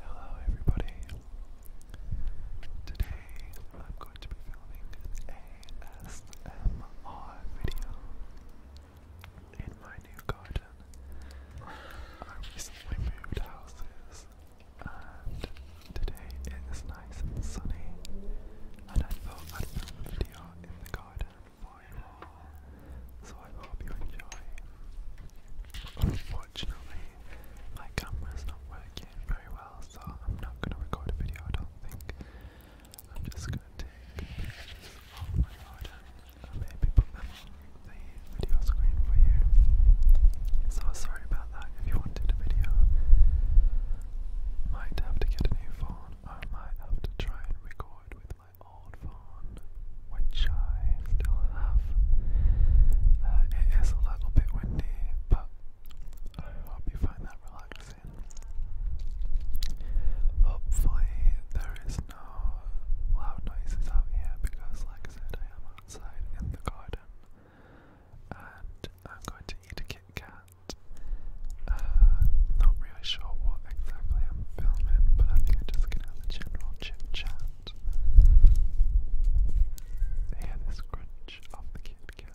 Hello everybody. Today I'm going to be filming ASMR video in my new garden. I recently moved houses and today it is nice and sunny and I thought I'd film a video in the garden for you so I hope you enjoy. Unfortunately, my camera's not working very well, so I'm not going to record a video, I don't think. I'm just going to take pictures of my order and maybe put them on the video screen for you. So sorry about that if you wanted a video. Might have to get a new phone, I might have to try and record with my old phone, which I still have. Uh, it is a little bit windy, but I hope you find that relaxing. Hopefully, there is no loud noises out here because, like I said, I am outside in the garden and I'm going to eat a Kit Kat. Uh, not really sure what how exactly I'm filming, but I think i just gonna have a general chit chat. They had this crunch off the Kit Kat.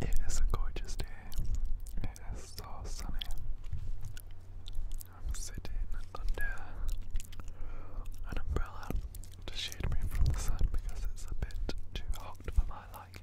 It is a gorgeous day. It is so sunny. I'm sitting under an umbrella to shade me from the sun because it's a bit too hot for my liking.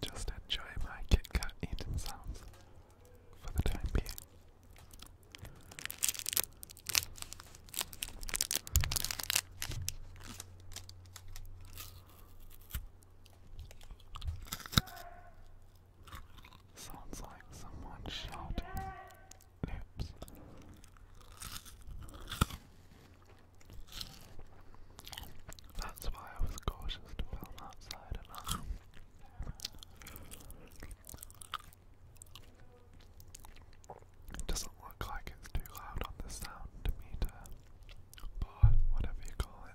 Just enjoy my Kit Kat eating sounds for the time being. Sounds like someone shouting. Oops. That's why I was cautious to outside enough. It doesn't look like it's too loud on the sound meter, but whatever you call it.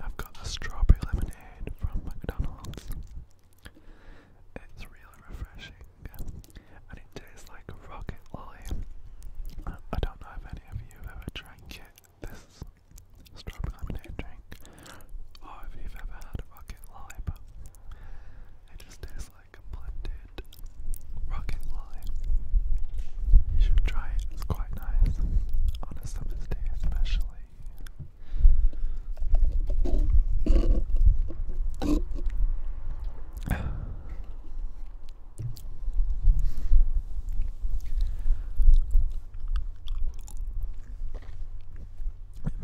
I've got a strawberry lemonade from McDonald's. It's really refreshing and it it's like a rocket lolly. I don't know if any of you have ever drank it, this strawberry lemonade drink, or if you've ever had a rocket lolly, but it just tastes like a blended rocket lolly. You should try it, it's quite nice on a summer's day, especially.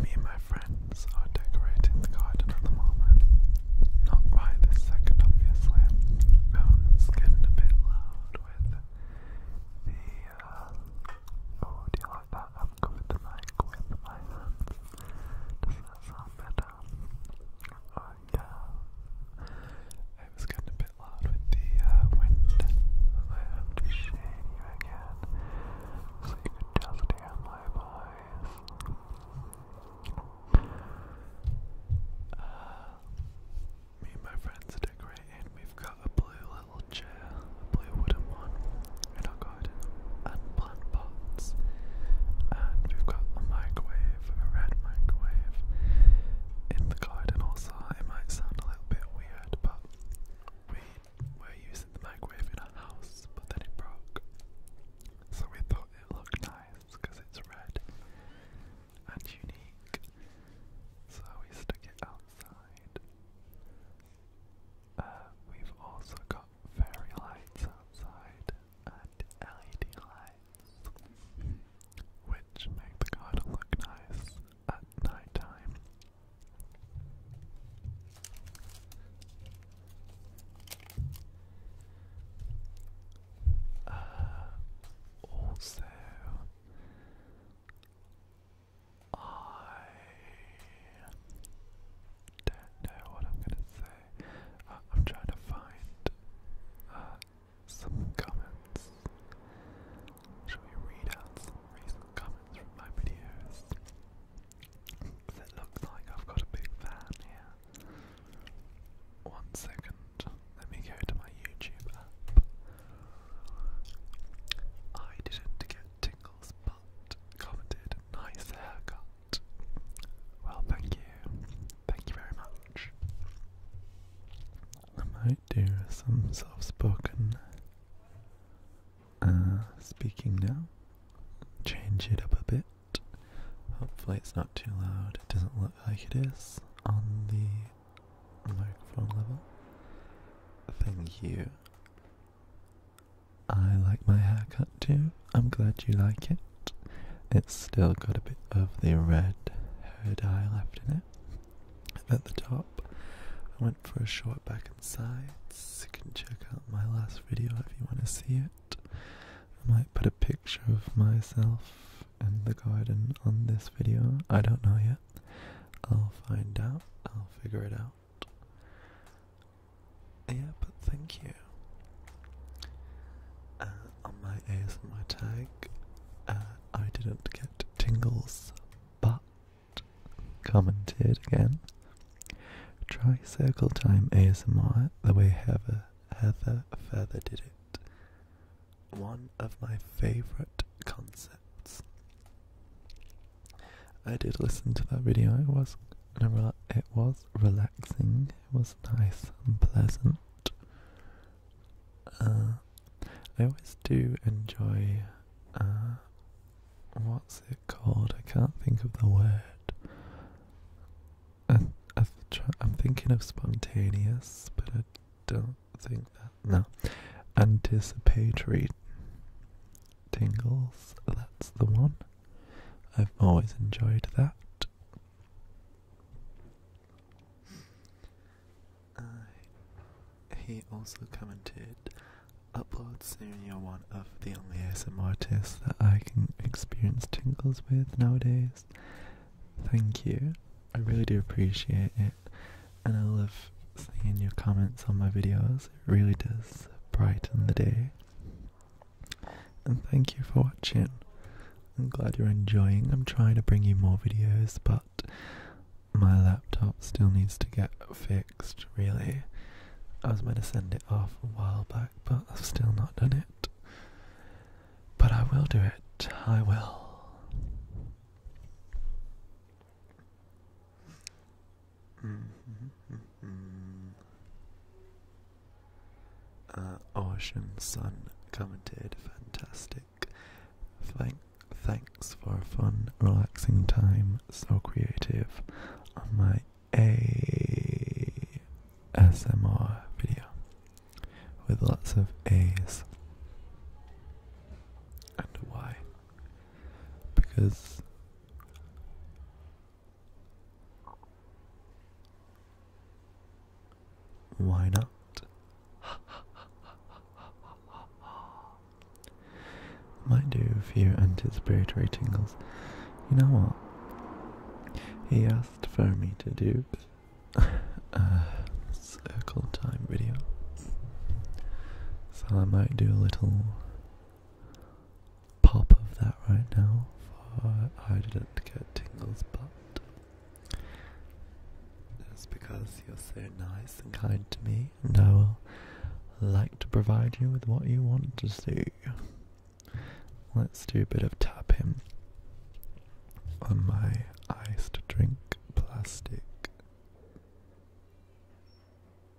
Me and my friends are decorating the garden at the moment. Not right this second, obviously. Um, getting a bit loud with the. Uh, oh, do you like that? I've covered the mic with my hands. does that sound better? yeah. I was getting a bit loud with the uh, wind. I have to shade you again so you can just hear my voice. Uh, me my friends are decorating. We've got a blue little chair, a blue wooden one, and I'll go ahead and we've got a microwave, a red microwave in the garden also. It might sound a little bit weird, but we were using the microwave in our house, but then it broke. So we thought it looked nice because it's red and unique. So we stuck it outside. Uh, we've also got fairy lights outside and LED lights, which make the garden look nice at night uh, also, I don't know what I'm going to say I'm trying to find uh, some comments. Should we read out some recent comments from my videos? It looks like I've got a big fan here. One second, let me go to my YouTube app. I didn't get tingles, but commented nice haircut. Well, thank you. Thank you very much. I might do some soft spoken uh, speaking now. Change it up a bit. Hopefully, it's not too loud. It doesn't look like it is on the microphone level. Thank you. I like my haircut too. I'm glad you like it. It's still got a bit of the red hair dye left in it. At the top, I went for a short back and sides. You can check out my last video if you want to see it. I might put a picture of myself in the garden on this video. I don't know yet. I'll find out. I'll figure it out. Yeah, but thank you. Uh, on my ASMR tag, uh, I didn't get tingles, but commented again. Try circle time ASMR the way Heather, Heather Feather did it. One of my favorite concepts. I did listen to that video. It was it was relaxing. It was nice and pleasant. Uh, I always do enjoy. Uh, what's it called? I can't think of the word. I'm thinking of spontaneous, but I don't think that. No, anticipatory tingles. That's the one. I've always enjoyed that. Uh, he also commented, upload soon, you're one of the only ASMR artists that I can experience tingles with nowadays. Thank you. I really do appreciate it. And I love seeing your comments on my videos. It really does brighten the day. And thank you for watching. I'm glad you're enjoying. I'm trying to bring you more videos, but my laptop still needs to get fixed, really. I was meant to send it off a while back, but I've still not done it. But I will do it. I will. Mm-hmm, mm-hmm, mm-hmm. Uh, Ocean Sun commented, fantastic. Thank, thanks for a fun, relaxing time. So creative on my ASMR video with lots of A's and a Y because why not? Might do a few anticipatory tingles. You know what? He asked for me to do a circle time video. So I might do a little pop of that right now for I didn't get tingles, but it's because you're so nice and kind to me, and I will like to provide you with what you want to see. Let's do a bit of tapping on my iced drink plastic.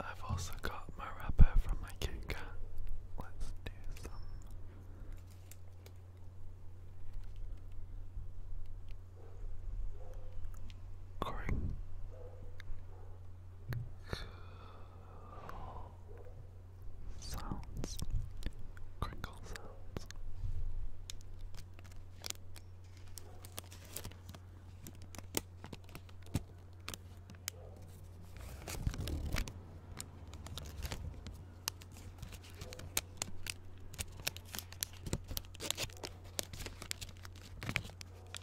I've also got my wrapper from my Kit Kat. Let's do some. Cring sounds, crinkle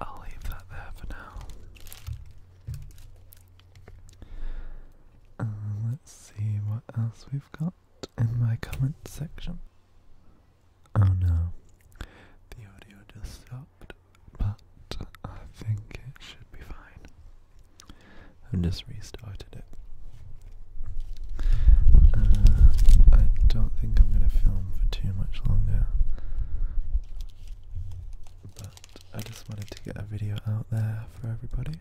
I'll leave that there for now. Uh, let's see what else we've got in my comment section. Oh no, the audio just stopped, but I think it should be fine. I've just restarted it. Uh, I don't think I'm going to film for too much longer. But I just wanted to get a video out there for everybody.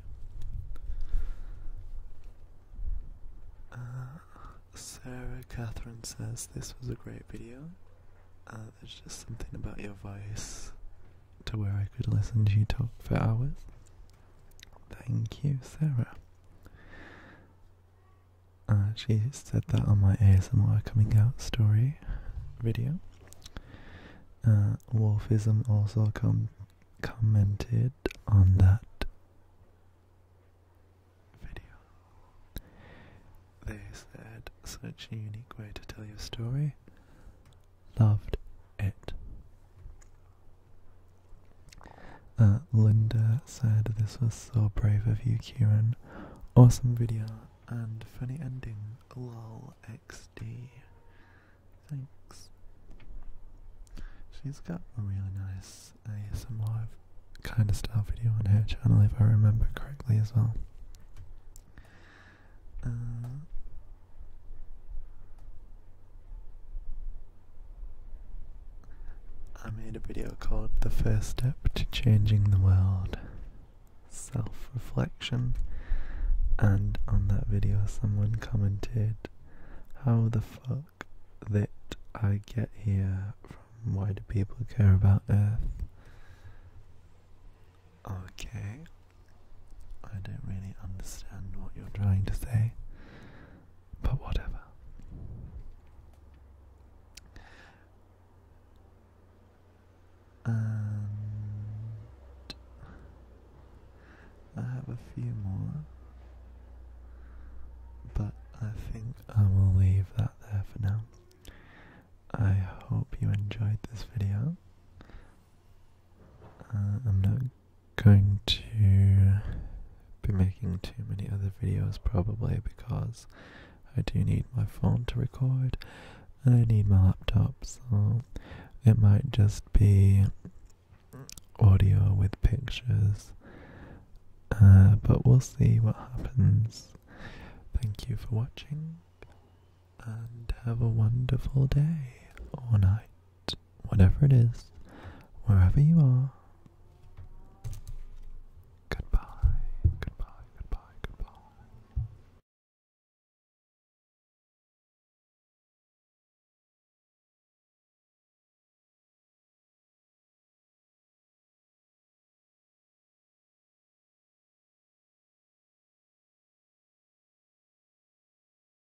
Uh, Sarah Catherine says this was a great video. Uh, there's just something about your voice to where I could listen to you talk for hours. Thank you, Sarah. Uh, she said that on my ASMR coming out story video. Uh, Wolfism also com commented on that video. They said, such a unique way to tell your story. Loved it. Uh, Linda said, This was so brave of you, Kieran. Awesome video and funny ending. Lol XD. Thanks. She's got a really nice ASMR kind of style video on her channel, if I remember correctly, as well. Uh, I made a video called The First Step to Changing the World Self Reflection, and on that video, someone commented, How the fuck did I get here why do people care about Earth? Okay, I don't really understand what you're trying to say. But whatever. I have a few more, but I think I will leave that there for now. I hope you enjoyed this video. Uh, I'm not going to be making too many other videos probably because I do need my phone to record and I need my laptop, so it might just be audio with pictures. Uh, but we'll see what happens. Thank you for watching and have a wonderful day or night whatever it is, wherever you are. Goodbye, goodbye, goodbye, goodbye.